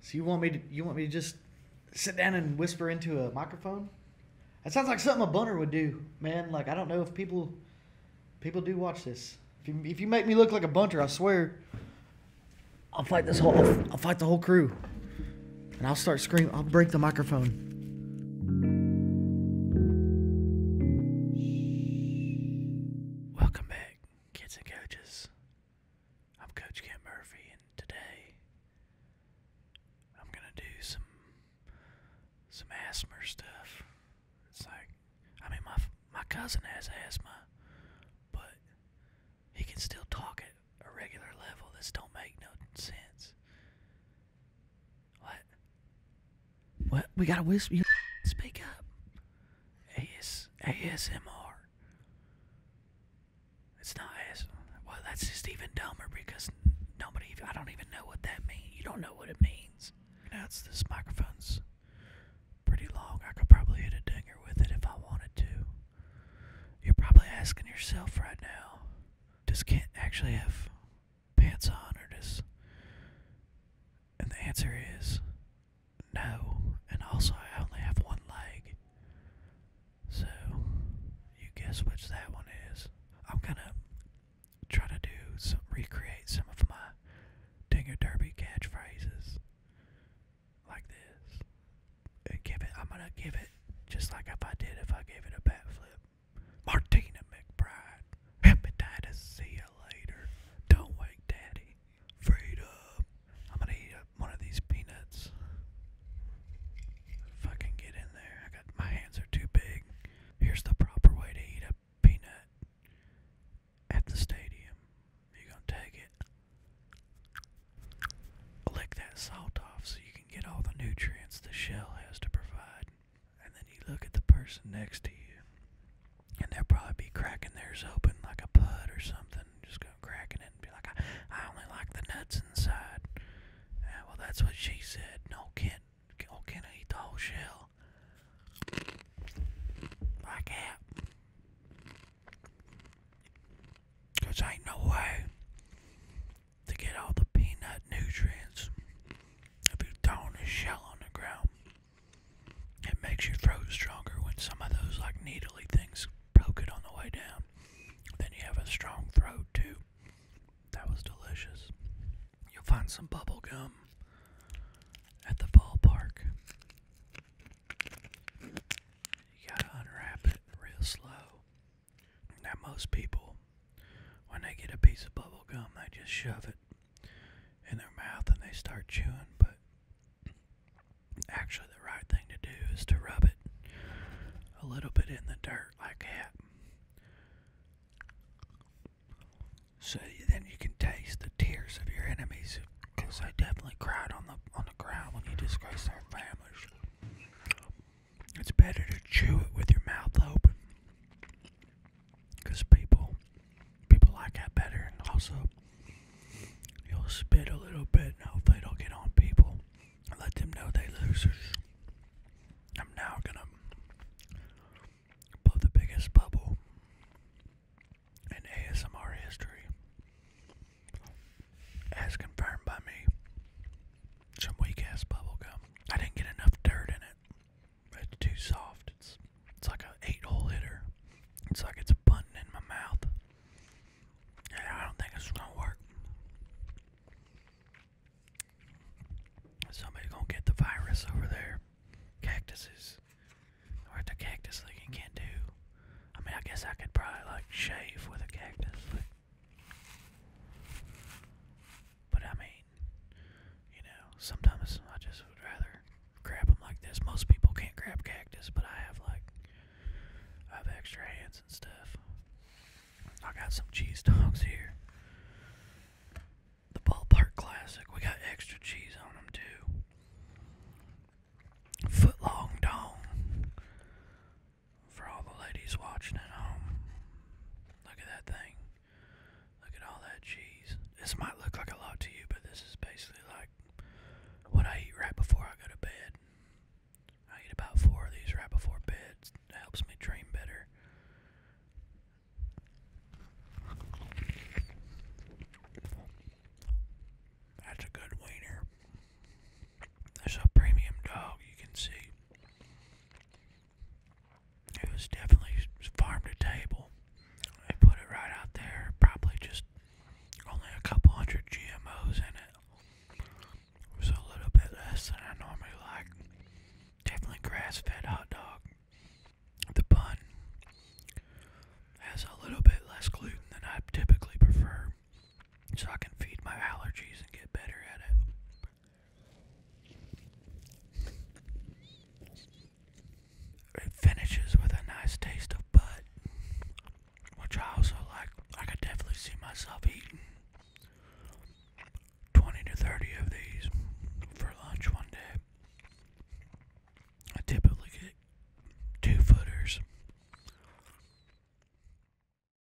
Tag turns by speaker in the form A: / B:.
A: So you want me to you want me to just sit down and whisper into a microphone? That sounds like something a bunter would do, man. Like I don't know if people people do watch this. If you, if you make me look like a bunter, I swear I'll fight this whole I'll fight the whole crew. And I'll start screaming. I'll break the microphone. Welcome back, kids and coaches. I'm Coach Kent Murphy, and today I'm gonna do some some asthma stuff. It's like, I mean, my my cousin has asthma, but he can still talk at a regular level. This don't make no sense. What? What? We gotta whisper. Speak up. AS, ASMR. It's not AS. Well, that's just even dumber because nobody. I don't even know what that means. You don't know what it means. That's it's this microphone's pretty long. I could probably hit a dinger with it if I wanted to. You're probably asking yourself right now, just can't actually have pants on, or just. And the answer is no. And also, I only have one leg. So, you guess which that one is. I'm gonna try to do some, recreate some of my Dinger Derby catchphrases like this. And give it, I'm gonna give it just like if I did if I gave it a bat flip. Martina McBride, hepatitis, see you later. Don't wake daddy. Freedom. I'm gonna eat up one of these peanuts. Fucking get in there. I got my hands are too big. Here's the proper way to eat a peanut at the stadium. You gonna take it. Lick that salt off so you can get all the nutrients the shell has to provide. And then you look at the person next to you and they'll probably be cracking theirs open like a pud or something. Just go cracking it and be like, I, I only like the nuts inside. Yeah, well, that's what she said. No, can't, oh, can't I eat the whole shell. I can't. Cause ain't no way to get all the peanut nutrients if you throw the shell on the ground. It makes your throat stronger when some of those like needly things broke it on the way down. Then you have a strong throat too. That was delicious. You'll find some bubble gum at the ballpark. You gotta unwrap it real slow. Now most people, when they get a piece of bubble gum, they just shove it in their mouth and they start chewing, but actually, the right thing to do is to rub it a little bit in the dirt like that. So then you can taste the tears of your enemies, because they definitely cried on the on the ground when you disgrace their families. It's better to chew it with your mouth open Cause people, people like that better, and also you'll spit a little bit, and hopefully it'll get on people let them know they losers. I'm now gonna blow the biggest bubble in ASMR history, as confirmed by me. Some weak ass bubble gum. I didn't get enough dirt in it. It's too soft. It's it's like an eight-hole hitter. It's like it's a button in my mouth. And I don't think it's gonna work. Somebody's gonna get the virus over there. Cactuses. What the cactus thing can't do. I mean, I guess I could probably like shave with a cactus. But I mean, you know, sometimes I just would rather grab them like this. Most people can't grab cactus, but I have like, I have extra hands and stuff. I got some cheese dogs here. The ballpark classic. We got extra cheese on them too. Footlong dong. For all the ladies watching at home. Look at that thing. Look at all that cheese. This might look like a lot to you, but this is basically like what I eat right before I go to bed. I eat about four of these right before bed. It helps me dream better. That's a good wiener. That's a premium dog, you can see. It was definitely farm to table. They put it right out there, probably just only a couple hundred GMOs in it. It was a little bit less than I normally like. Definitely grass fed hot dog. The bun has a little bit less gluten than I typically prefer, so I can feed my allergies and get better at it. It finishes with a nice taste of butt, which I also like. I could definitely see myself eating 20 to 30 of these for lunch one day. I typically get two footers.